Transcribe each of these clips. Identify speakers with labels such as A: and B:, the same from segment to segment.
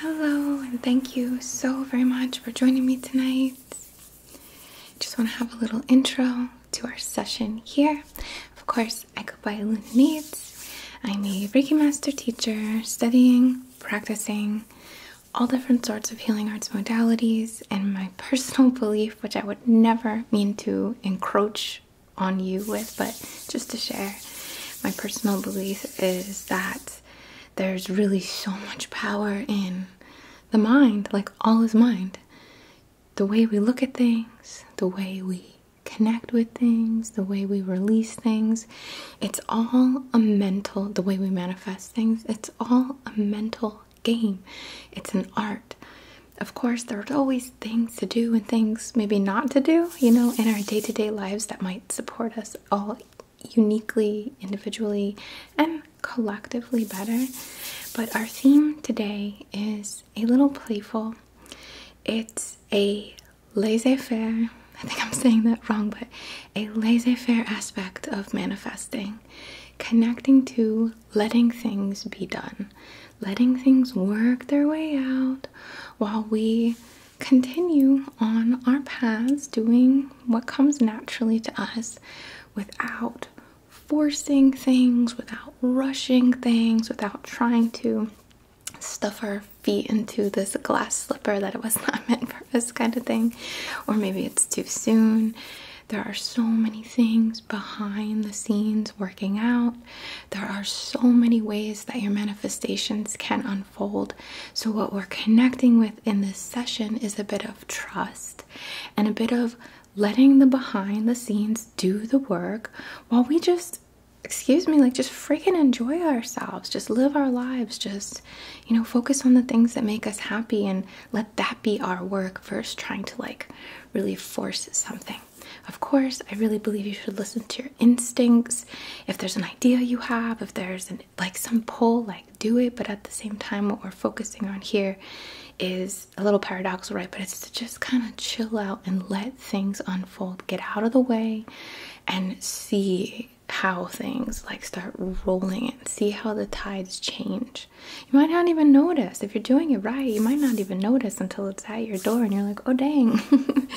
A: Hello, and thank you so very much for joining me tonight. Just want to have a little intro to our session here. Of course, I go by Luna Needs. I'm a Reiki Master teacher, studying, practicing all different sorts of healing arts modalities, and my personal belief, which I would never mean to encroach on you with, but just to share my personal belief is that there's really so much power in the mind, like all is mind. The way we look at things, the way we connect with things, the way we release things, it's all a mental, the way we manifest things, it's all a mental game, it's an art. Of course, there's always things to do and things maybe not to do, you know, in our day to day lives that might support us all uniquely, individually, and collectively better. But our theme today is a little playful. It's a laissez faire, I think I'm saying that wrong, but a laissez faire aspect of manifesting, connecting to letting things be done letting things work their way out while we continue on our paths, doing what comes naturally to us without forcing things, without rushing things, without trying to stuff our feet into this glass slipper that it was not meant for us, kind of thing. Or maybe it's too soon. There are so many things behind the scenes working out. There are so many ways that your manifestations can unfold. So, what we're connecting with in this session is a bit of trust and a bit of letting the behind the scenes do the work while we just excuse me, like just freaking enjoy ourselves, just live our lives, just, you know, focus on the things that make us happy and let that be our work first, trying to like really force something. Of course, I really believe you should listen to your instincts. If there's an idea you have, if there's like some pull, like do it. But at the same time, what we're focusing on here is a little paradoxical, right? But it's to just kind of chill out and let things unfold, get out of the way, and see how things like start rolling and see how the tides change. You might not even notice. If you're doing it right, you might not even notice until it's at your door and you're like, oh dang.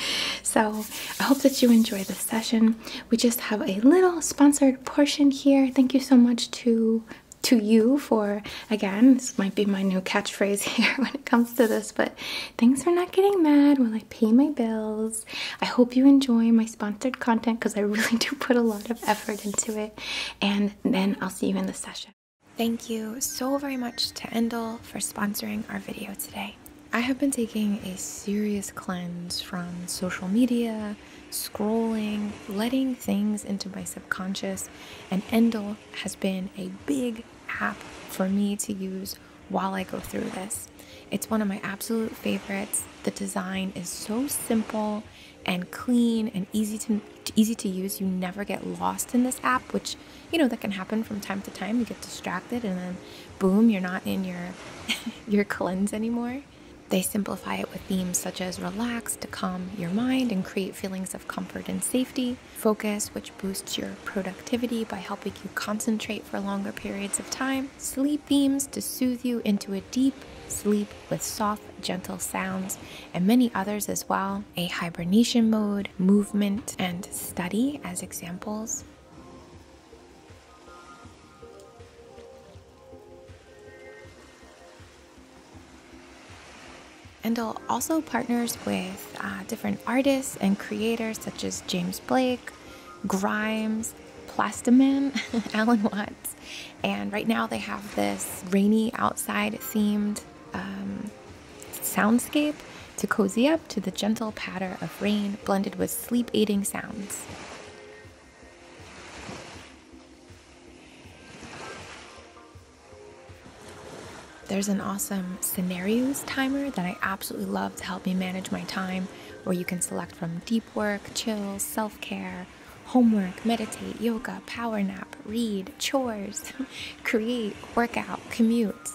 A: so I hope that you enjoy this session. We just have a little sponsored portion here. Thank you so much to to you for again this might be my new catchphrase here when it comes to this but thanks for not getting mad when i pay my bills i hope you enjoy my sponsored content because i really do put a lot of effort into it
B: and then i'll see you in the session Thank you so very much to Endel for sponsoring our video today. I have been taking a serious cleanse from social media, scrolling, letting things into my subconscious, and Endel has been a big app for me to use while I go through this. It's one of my absolute favorites. The design is so simple and clean and easy to easy to use. You never get lost in this app, which you know that can happen from time to time. You get distracted and then boom, you're not in your your cleanse anymore. They simplify it with themes such as relax to calm your mind and create feelings of comfort and safety, focus, which boosts your productivity by helping you concentrate for longer periods of time, sleep themes to soothe you into a deep sleep with soft, gentle sounds, and many others as well, a hibernation mode, movement, and study as examples. Endel also partners with uh, different artists and creators such as James Blake, Grimes, Plastamin, Alan Watts. And right now they have this rainy outside themed um, soundscape to cozy up to the gentle patter of rain blended with sleep aiding sounds. There's an awesome scenarios timer that I absolutely love to help me manage my time, where you can select from deep work, chill, self care, homework, meditate, yoga, power nap, read, chores, create, workout, commute.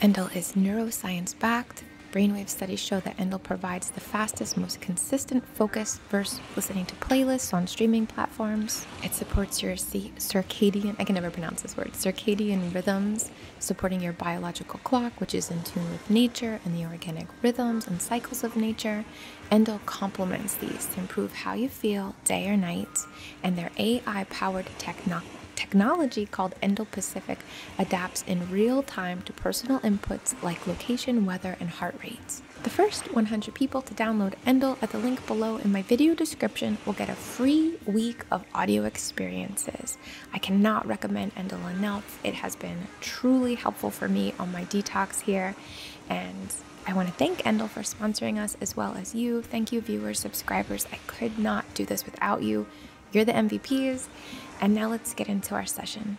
B: Endel is neuroscience backed. Brainwave studies show that Endel provides the fastest, most consistent focus versus listening to playlists on streaming platforms. It supports your circadian, I can never pronounce this word, circadian rhythms, supporting your biological clock, which is in tune with nature and the organic rhythms and cycles of nature. Endo complements these to improve how you feel day or night, and their AI powered technology called Endo Pacific adapts in real time to personal inputs like location, weather, and heart rates. The first 100 people to download Endel at the link below in my video description will get a free week of audio experiences. I cannot recommend Endel enough. It has been truly helpful for me on my detox here, and I want to thank Endel for sponsoring us as well as you. Thank you, viewers, subscribers. I could not do this without you. You're the MVPs. And now let's get into our session.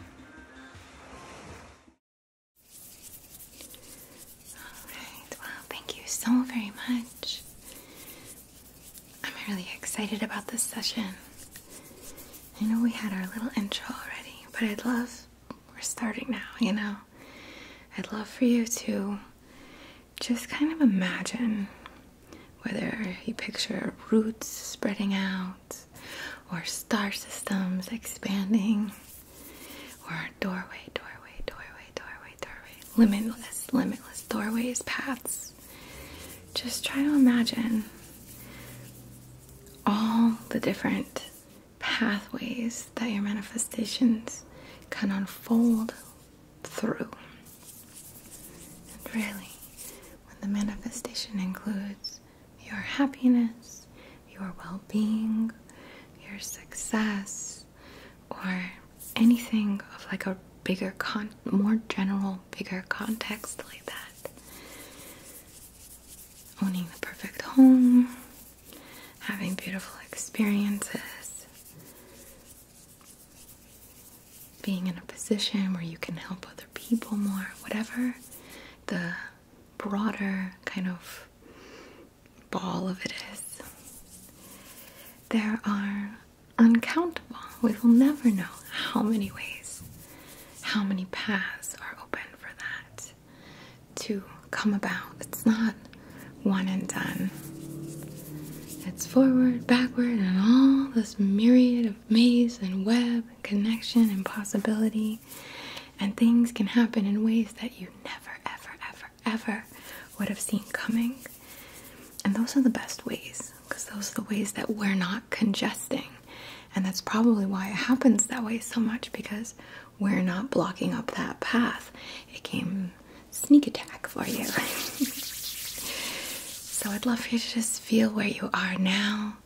A: All right. thank you so very much. I'm really excited about this session. I know we had our little intro already, but I'd love we're starting now, you know. I'd love for you to just kind of imagine whether you picture roots spreading out, or star systems expanding, or doorway, doorway, doorway, doorway, doorway, limitless, limitless doorways, paths. Just try to imagine all the different pathways that your manifestations can unfold through. And really, when the manifestation includes your happiness, your well being, your success, or anything of like a bigger con more general bigger context like that owning the perfect home having beautiful experiences, being in a position where you can help other people more, whatever the broader kind of ball of it is. There are uncountable, we will never know how many ways, how many paths are open for that to come about. It's not one and done. It's forward, backward, and all this myriad of maze and web, connection and possibility. And things can happen in ways that you never, ever, ever, ever would have seen coming. And those are the best ways because those are the ways that we're not congesting. And that's probably why it happens that way so much because we're not blocking up that path. It came sneak attack for you. so I'd love for you to just feel where you are now,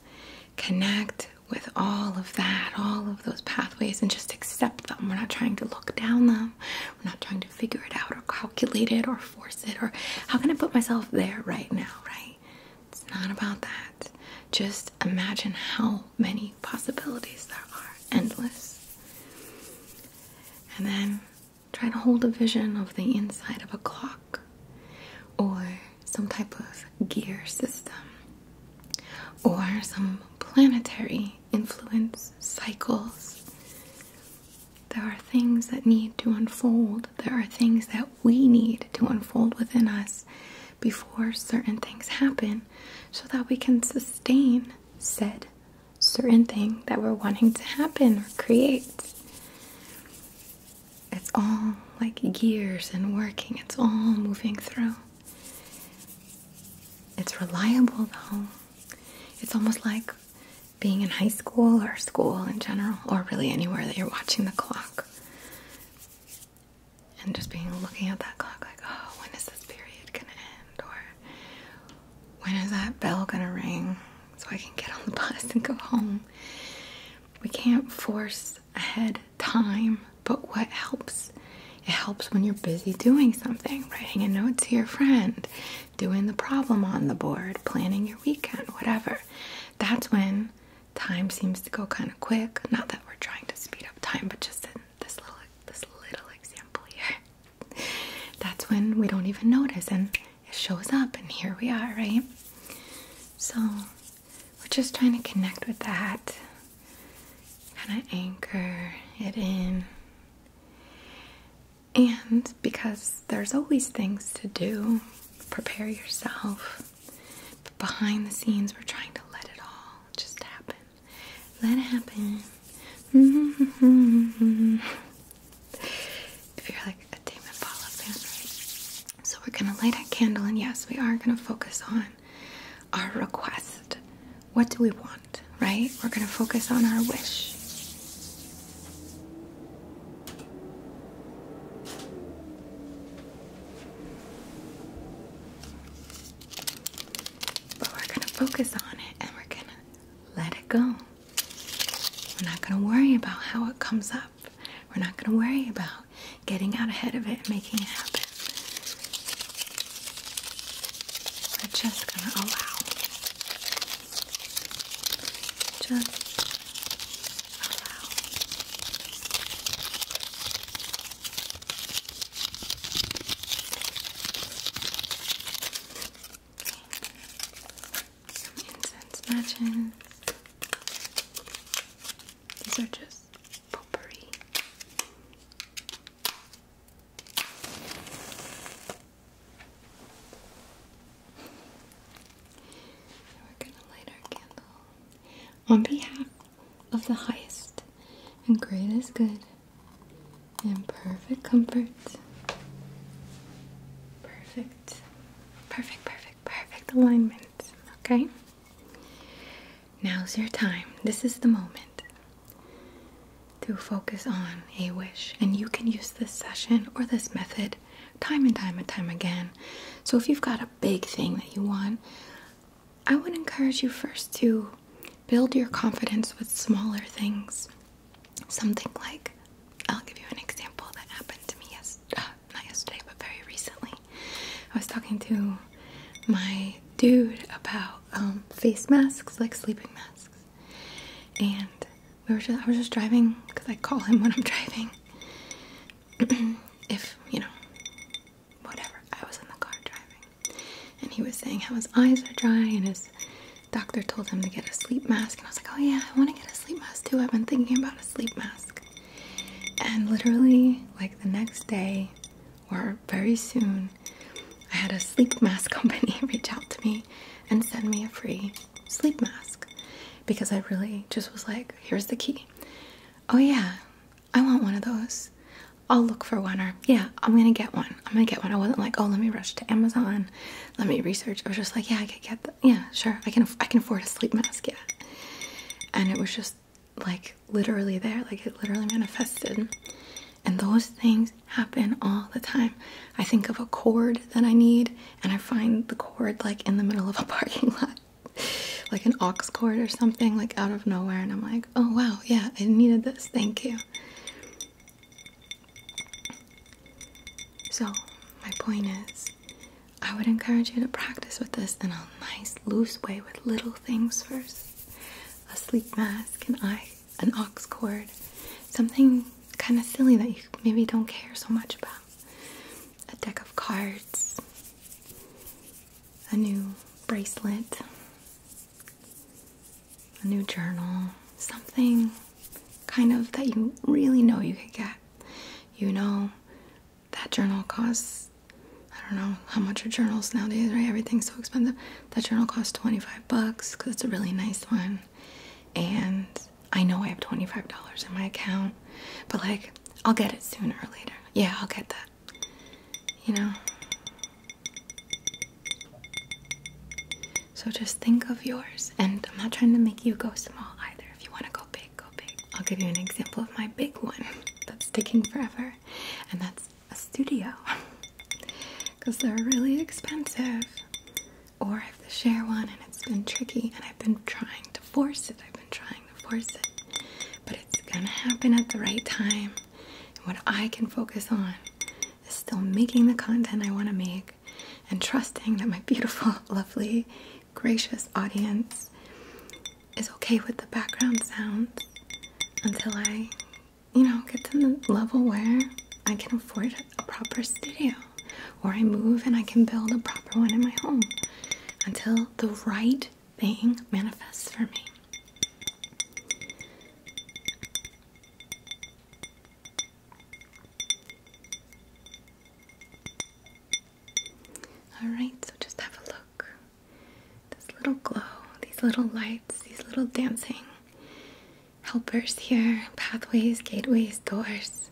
A: connect with all of that, all of those pathways, and just accept them. We're not trying to look down them, we're not trying to figure it out or calculate it or force it or how can I put myself there right now, right? It's not about that. Just imagine how many possibilities there are, endless. And then try to hold a vision of the inside of a clock or some type of gear system or some planetary influence cycles. There are things that need to unfold, there are things that we need to unfold within us before certain things happen so that we can sustain said certain thing that we're wanting to happen or create. It's all like gears and working, it's all moving through. It's reliable though. It's almost like being in high school or school in general, or really anywhere that you're watching the clock and just being looking at that clock like, oh, when is this period gonna end? Or when is that bell gonna ring so I can get on the bus and go home? We can't force ahead time, but what helps? It helps when you're busy doing something, writing a note to your friend, doing the problem on the board, planning your weekend, whatever. That's when time seems to go kind of quick. Not that we're trying to speed up time, but just in this little this little example here. That's when we don't even notice and it shows up and here we are, right? So we're just trying to connect with that. Kind of anchor it in. And because there's always things to do, prepare yourself behind the scenes, we're trying to let it all just happen. Let it happen. if you're like a Tame Impala fan, right? So we're gonna light a candle, and yes, we are gonna focus on our request. What do we want, right? We're gonna focus on our wish. But we're gonna focus on it and we're gonna let it go. We're not gonna worry about how it comes up. We're not gonna worry about getting out ahead of it and making it happen. We're just gonna allow. Just allow.
B: Some incense matches.
A: These are just potpourri. we're gonna light our candle on behalf of the highest and greatest good and perfect comfort. Perfect, perfect, perfect, perfect alignment. Okay? Now's your time. This is the moment to focus on a wish. And you can use this session or this method time and time and time again. So if you've got a big thing that you want, I would encourage you first to build your confidence with smaller things. Something like, I'll give you an example that happened to me yes, uh, not yesterday, but very recently. I was talking to my dude about um, face masks, like sleeping masks, and we were just, I was just driving because I call him when I'm driving. if you know, whatever. I was in the car driving, and he was saying how his eyes are dry, and his doctor told him to get a sleep mask. And I was like, oh yeah, I want to get a sleep mask too. I've been thinking about a sleep mask. And literally, like the next day, or very soon, I had a sleep mask company reach out to me and send me a free sleep mask because I really just was like, here's the key. Oh yeah, I want one of those. I'll look for one or yeah, I'm gonna get one. I'm gonna get one. I wasn't like, oh, let me rush to Amazon, let me research. I was just like, yeah, I can get that. yeah, sure. I can I can afford a sleep mask, yeah. And it was just like literally there, like it literally manifested. And those things happen all the time. I think of a cord that I need, and I find the cord like in the middle of a parking lot like an ox cord or something like out of nowhere and I'm like, "Oh wow, yeah, I needed this. Thank you." So, my point is, I would encourage you to practice with this in a nice loose way with little things first. A sleep mask, an eye, an ox cord, something kind of silly that you maybe don't care so much about. A deck of cards, a new bracelet, a new journal, something kind of that you really know you could get. You know, that journal costs, I don't know how much are journals nowadays, right? Everything's so expensive. That journal costs 25 bucks because it's a really nice one. And I know I have $25 in my account, but like, I'll get it sooner or later. Yeah, I'll get that. You know? So just think of yours. And I'm not trying to make you go small either. If you want to go big, go big. I'll give you an example of my big one that's sticking forever, and that's a studio. Because they're really expensive. Or I have to share one and it's been tricky, and I've been trying to force it. I've been trying trying to force it, but it's gonna happen at the right time. what I can focus on is still making the content I want to make and trusting that my beautiful, lovely, gracious audience is okay with the background sounds until I, you know, get to the level where I can afford a proper studio or I move and I can build a proper one in my home. Until the right thing manifests for me. All right, so just have a look. This little glow, these little lights, these little dancing helpers here, pathways, gateways, doors,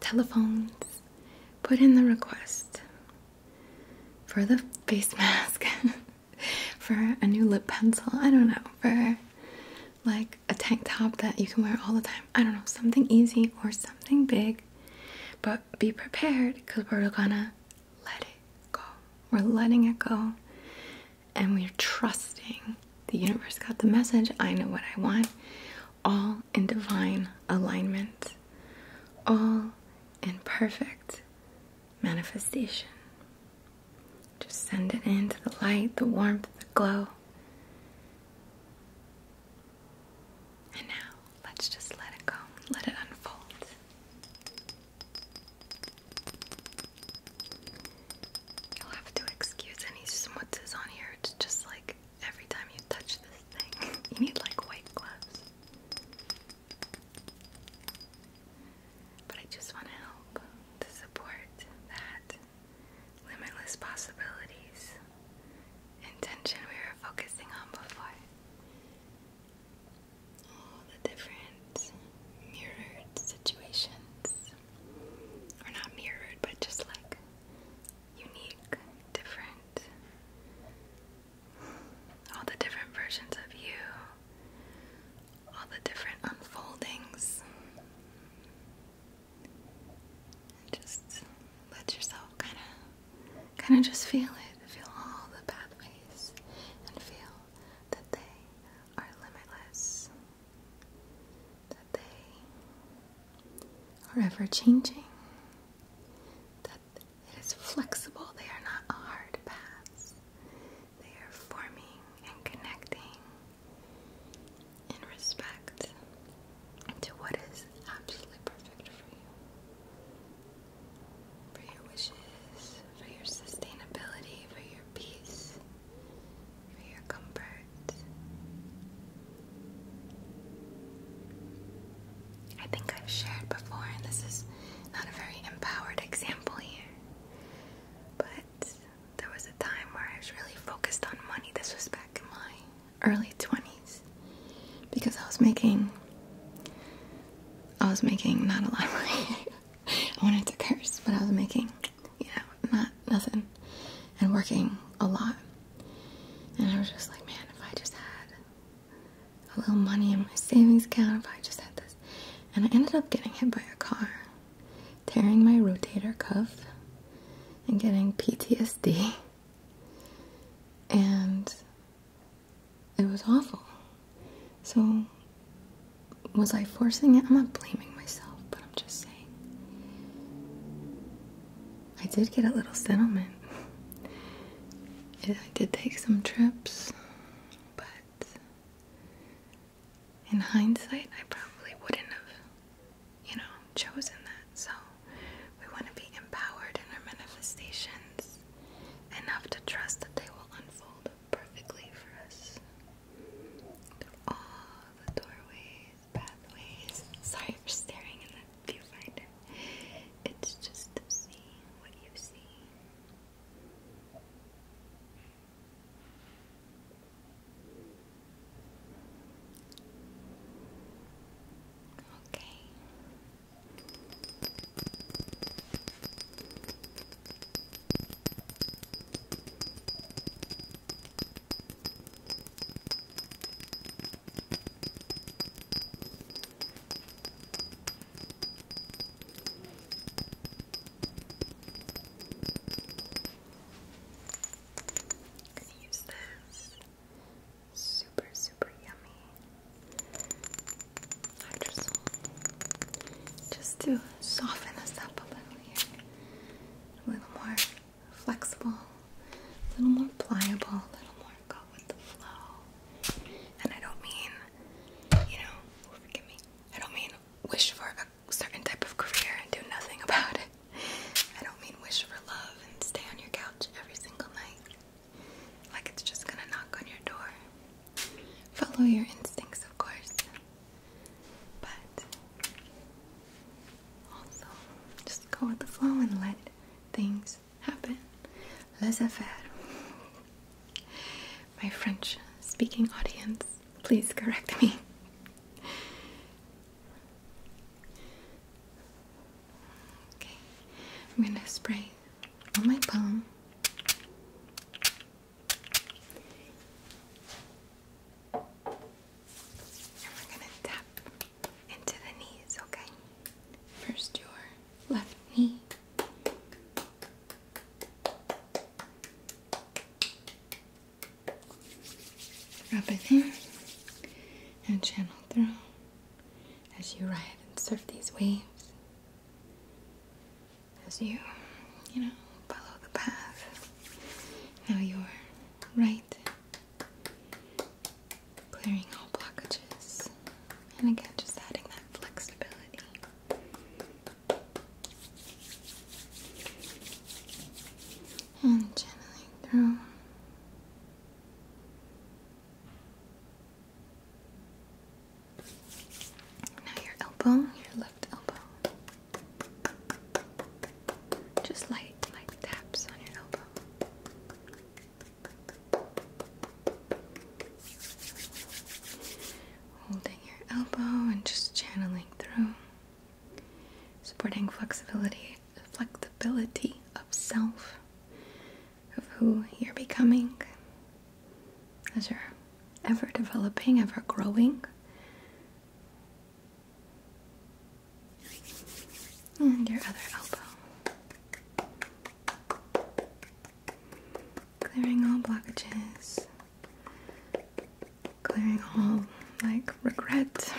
A: telephones, put in the request for the face mask, for a new lip pencil, I don't know, for like a tank top that you can wear all the time. I don't know, something easy or something big. But be prepared because we're gonna let it go. We're letting it go and we're trusting the universe got the message. I know what I want all in divine alignment, all in perfect manifestation. Just send it into the light, the warmth, the glow. And now let's just let it go, let it unfold. You'll have to excuse any smutzes on here, it's just like Every time you touch this thing, you need like white gloves. But I just want to help to support that limitless possibilities intention we were focusing on before. All the different mirrored situations. Or not mirrored, but just like unique, different all the different versions of you, all the different unfoldings. just let yourself kind of, kind of just feel it. Feel all the pathways and feel that they are limitless. That they are ever changing, that it is flexible, they are not hard paths. They are forming and connecting in respect to what is absolutely perfect for you, for your wishes, for your sustainability, for your peace, for your comfort. I think I've shared before, and this is not a very empowered example here, but there was a time where I was really focused on money. This was back in my early 20s because I was making. I was making not a lot of money. I wanted to curse, but I was making, you know, not nothing and working a lot. And I was just like, man, if I just had a little money in my savings account, if I just had this. And I ended up getting hit by a car, tearing my rotator cuff, and getting PTSD. And it was awful. So, was I forcing it? I'm not blaming myself, but I'm just saying. I did get a little settlement. I did take some trips, but in hindsight, I probably wouldn't have, you know, chosen that. So we want to be empowered in our manifestations enough to trust that they will unfold perfectly for us. All the doorways Sorry for staring in the viewfinder. It's just to see what you see. Okay. Gonna use this. Super, super yummy hydrosol just to soften us up a little here. A little more flexible, a little more pliable, a little more go with the flow. And I don't mean, you know, forgive me, I don't mean wish for a certain type of career and do nothing about it. I don't mean wish for love and stay on your couch every single night. Like it's just gonna knock on your door. Follow your instincts, of course. But also, just go with the flow and let things happen. Laissez faire. My French speaking audience, please correct me. Okay, I'm gonna spray on my palm. And we're gonna tap into the knees, okay? First, your left knee. Wrap it there, and channel through as you ride and surf these waves. As you, you know, follow the path. Now your right Clearing all blockages. And again, just adding that flexibility. And channeling through. Now your elbow, your left elbow. Just light, like taps on your elbow. Holding your elbow and just channeling through, supporting flexibility, flexibility of self, of who you're becoming, as you're ever developing, ever growing. And your other elbow. Clearing all blockages. Clearing all like regret,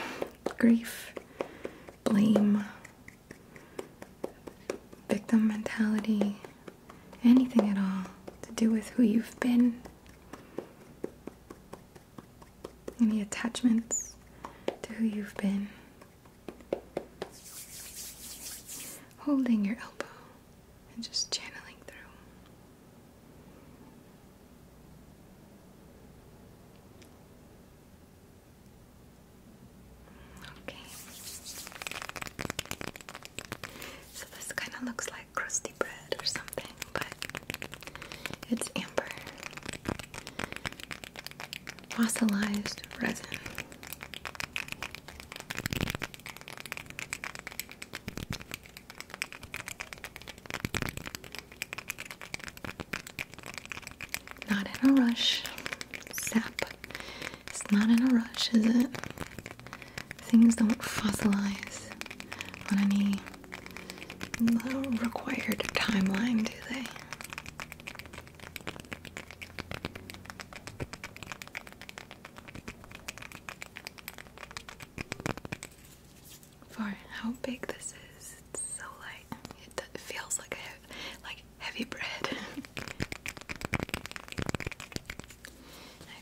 A: grief, blame, victim mentality, anything at all to do with who you've been any attachments to who you've been. Holding your elbow and just channeling through. Okay. So this kind of looks like crusty bread or something but it's amber fossilized resin. Not in a rush. Sap. It's not in a rush, is it? Things don't fossilize on any no required timeline, do they? For how big this is, it's so light. It, feels like a like heavy bread. I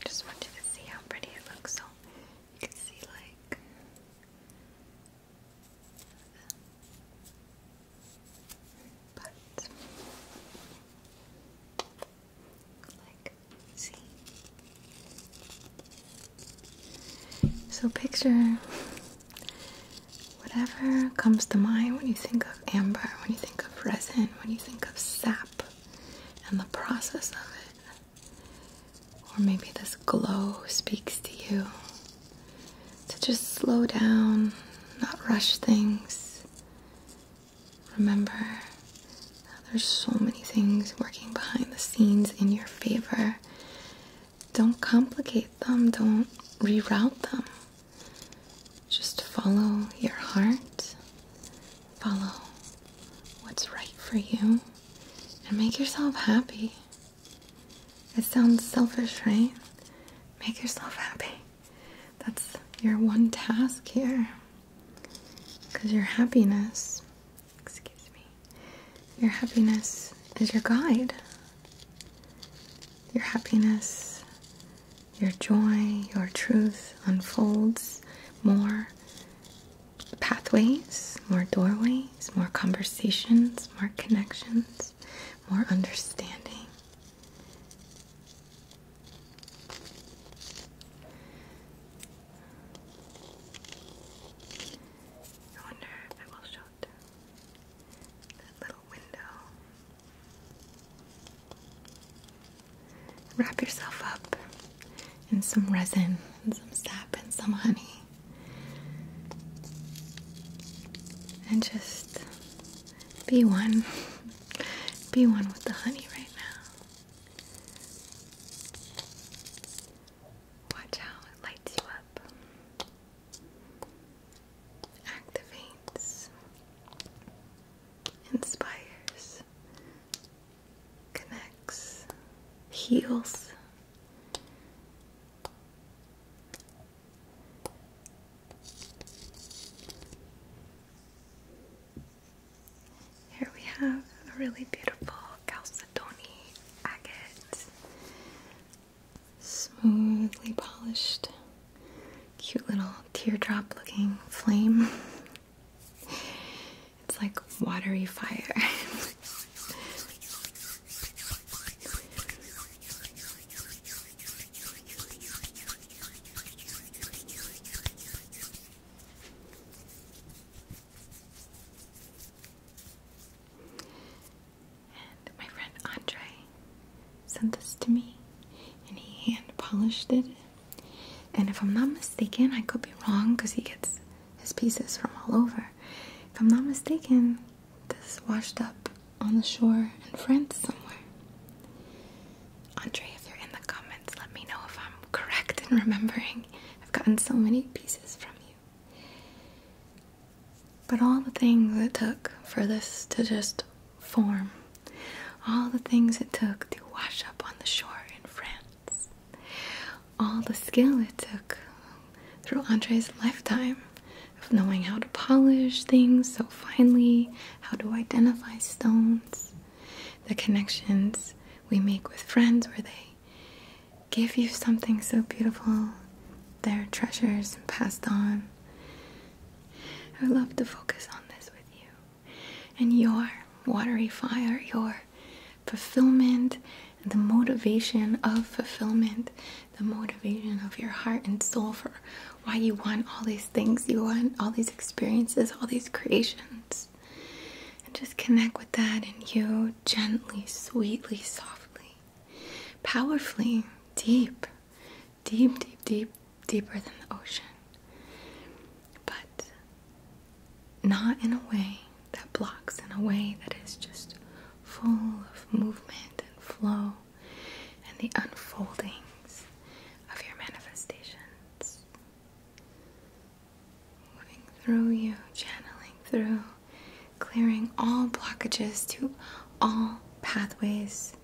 A: just want to see how pretty it looks. So you can see like but like So picture whatever comes to mind when you think of amber, when you think of resin, when you think of sap and the process of it. Or maybe this glow speaks to you. To just slow down, not rush things. Remember, there's so many things working behind the scenes in your favor. Don't complicate them, don't reroute them. Just follow your heart, follow what's right for you, and make yourself happy. It sounds selfish, right? Make yourself happy. That's your one task here. Because your happiness, excuse me, your happiness is your guide. Your happiness, your joy, your truth unfolds more pathways, more doorways, more conversations, more connections, more understanding. I wonder if I will show it that little window. Wrap yourself up and some resin and some sap and some honey. And just be one. Be one with the honey right now. Watch how it lights you up. Activates. Inspires connects, heals. Here we have a really beautiful chalcedony agate, smoothly polished, cute little teardrop looking flame. It's like watery fire. and my friend Andre sent this to me and he hand polished it. And if I'm not mistaken, I could be wrong because he gets his pieces from all over. If I'm not mistaken, this washed up on the shore in France somewhere. Andre, if you're in the comments, let me know if I'm correct in remembering. I've gotten so many pieces from you. But all the things it took for this to just form, all the things it took to wash up on the shore in France, all the skill it took through Andre's lifetime of knowing how to polish things so finely, how to identify stones, the connections we make with friends where they give you something so beautiful, their treasures passed on. I love to focus on this with you and your watery fire, your fulfillment the motivation of fulfillment, the motivation of your heart and soul for why you want all these things, you want all these experiences, all these creations. And just connect with that and you gently, sweetly, softly, powerfully, deep, deep, deep, deep, deeper than the ocean. But not in a way that blocks, in a way that is just full of movement and flow and the unfoldings of your manifestations. Moving through you, channeling through, clearing all blockages to all pathways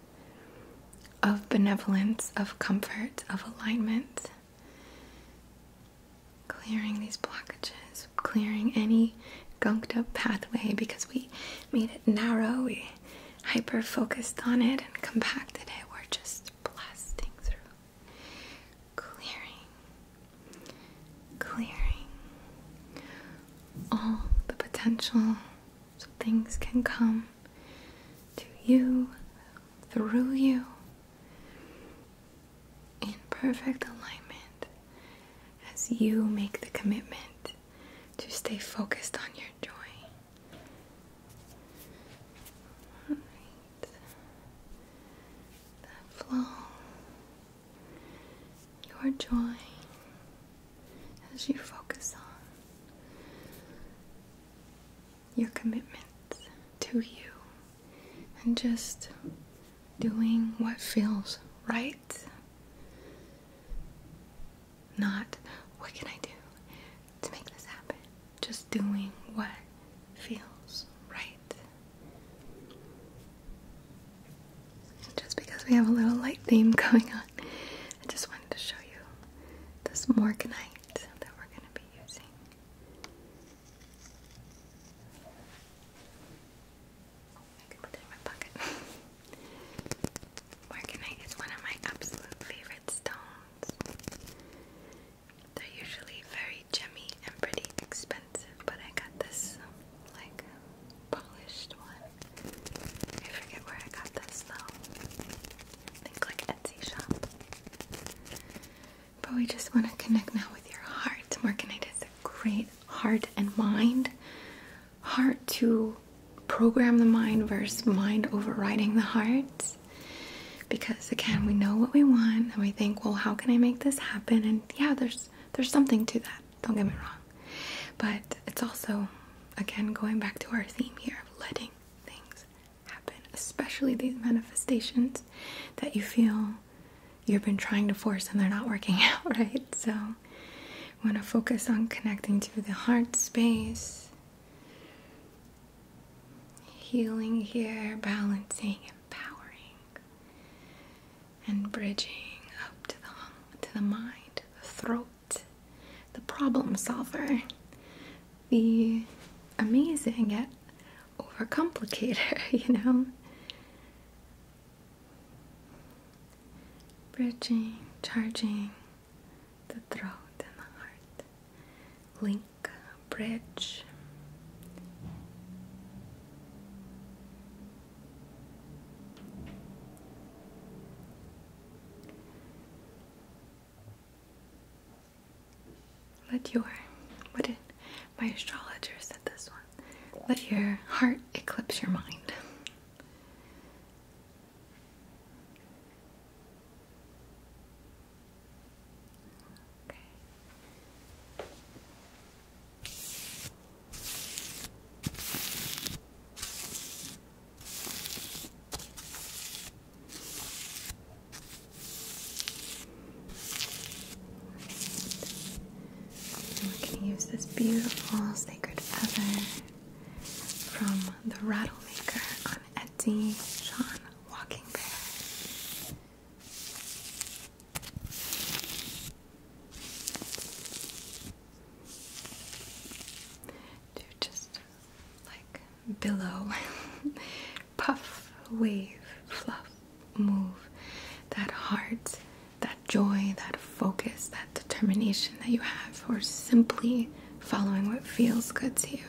A: of benevolence, of comfort, of alignment. Clearing these blockages, clearing any gunked up pathway because we made it narrow, we hyper focused on it and compacted it. We're just blasting through. Clearing, clearing all the potential so things can come to you, through you, in perfect alignment as you make the commitment to stay focused on your joy. That flow, your joy as you focus on your commitments to you and just doing what feels right. Not what can I do to make this happen? Just doing what feels right. Just because we have a little light theme going on, I just wanted to show you this morganite that we're going to be using. I can put it one of my absolute favorite stones. They're usually very gemmy and pretty expensive, but I got this like polished one. I forget where I got this though. think like Etsy shop. But we just want to connect now with your heart. Markinite It's a great heart and mind. Heart to program the mind versus mind overriding the heart. Because again, we know what we want and we think, well, how can I make this happen? And yeah, there's there's something to that. Don't get me wrong. But it's also again going back to our theme here of letting things especially these manifestations that you feel you've been trying to force and they're not working out, right? So, want to focus on connecting to the heart space, healing here, balancing, empowering, and bridging up to the to the mind, the throat, the problem solver, the amazing yet overcomplicator, you know? Bridging, charging the throat and the heart. Link, bridge. Let your what did my astrologer said this one. Let your heart eclipse your mind. Okay we're going to use this beautiful sacred feather from the maker on Etsy, Sean Walking Bear. To just like billow, puff, wave, fluff, move. That heart, that joy, that focus, that determination that you have for simply following what feels good to you.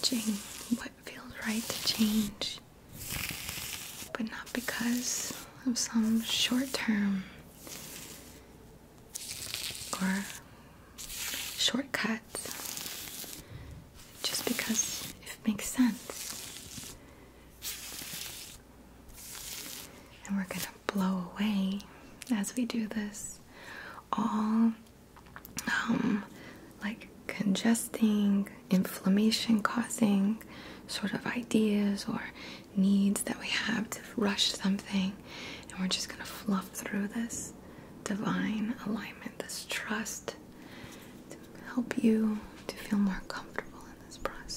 A: Changing what feels right to change, but not because of some short term or shortcuts just because it makes sense. And we're going to blow away as we do this all um, like congesting, inflammation causing sort of ideas or needs that we have to rush something, and we're just going to fluff through this divine alignment, this trust to help you to feel more comfortable in this process.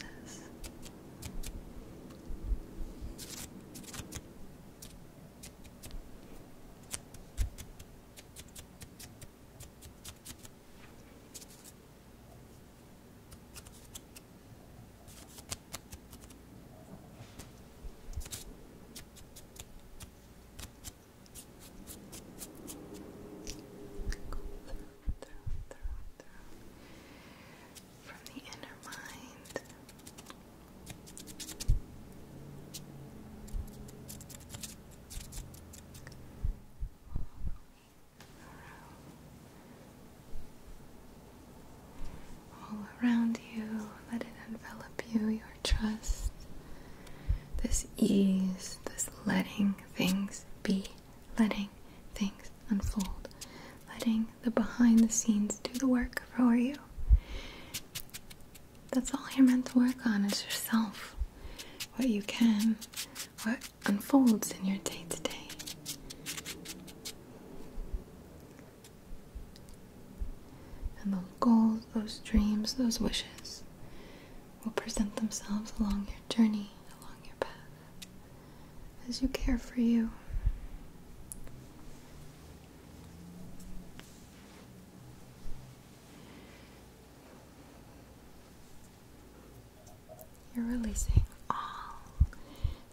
A: Go through, through, through, through. From the inner mind all around you. Let it envelop you, your trust, this ease, this letting things be, letting things unfold, letting the behind the scenes do the work for you. That's all you're meant to work on is yourself. What you can, what unfolds in your day to day. And those goals, those dreams, those wishes will present themselves along your journey, along your path, as you care for you. You're releasing all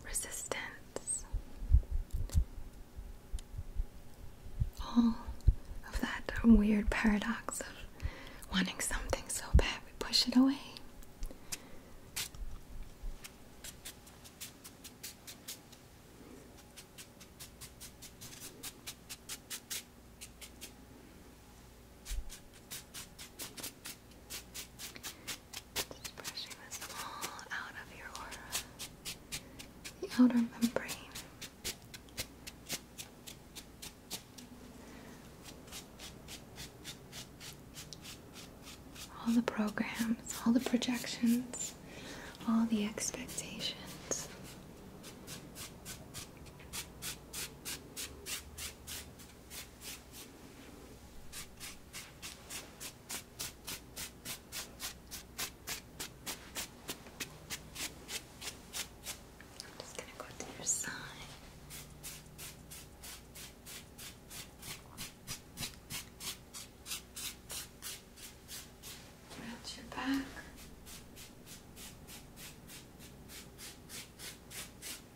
A: resistance, all of that weird paradox of wanting something so bad we push it away. Just brushing this all out of your aura, the outer membrane. All the programs, all the projections, all the expectations. I'm just going to go to your side. Around your back. And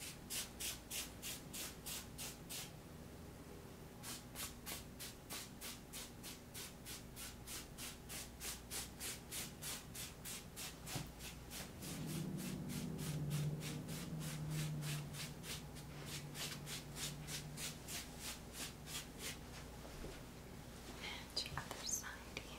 A: the other side here.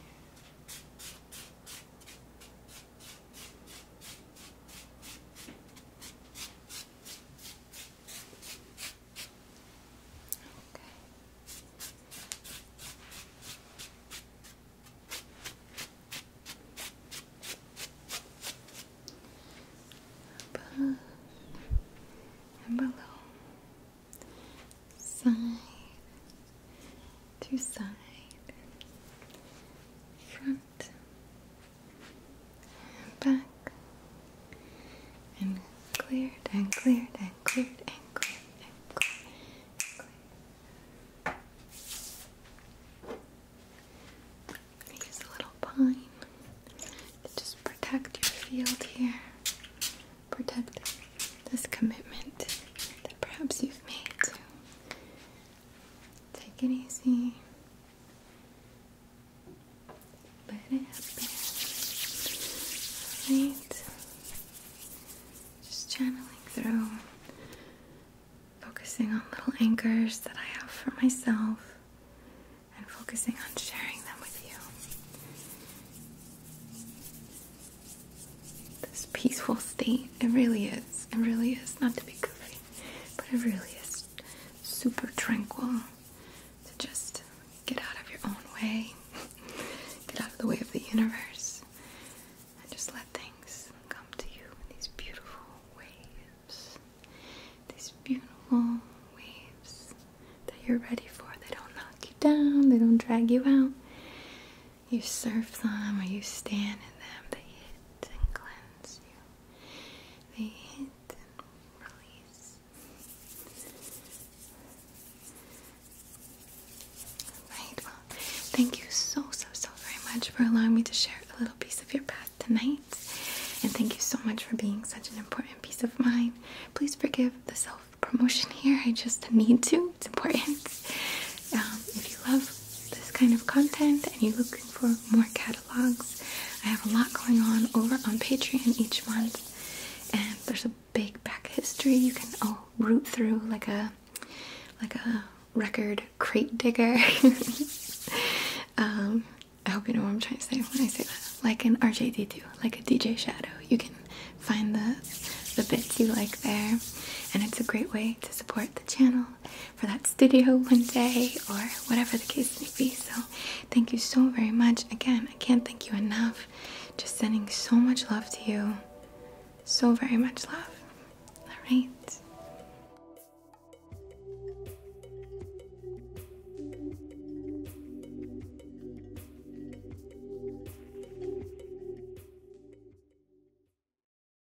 A: Above and below, side to side, front and back, and cleared and cleared and cleared and cleared and cleared and cleared. a little pine to just protect your field here, protect this commitment that perhaps you've made to Take it easy. Let it happen. Alright. Just channeling through, focusing on little anchors that I have for myself, and focusing on sharing them with you. This peaceful state, it really is. It really is not to be goofy but it really is super tranquil to just get out of your own way, get out of the way of the universe, and just let things come to you in these beautiful waves. These beautiful waves that you're ready for. They don't knock you down, they don't drag you out. You surf them or you stand in them, they hit and cleanse they hit and release. Right, well, thank you so, so, so very much for allowing me to share a little piece of your path tonight. And thank you so much for being such an important piece of mine. Please forgive the self promotion here, I just need to, it's important. Um, if you love this kind of content and you're looking for more catalogs, I have a lot going on over on Patreon each month, and there's a big back history you can all root through like a like a record crate digger. um, I hope you know what I'm trying to say when I say that. Like an RJD2, like a DJ Shadow, you can find the the bits you like there, and it's a great way to support the channel for that studio one day or whatever the case may be. So, thank you so very much. Again, I can't thank you enough. Just sending so much love to you. So very much love. All right.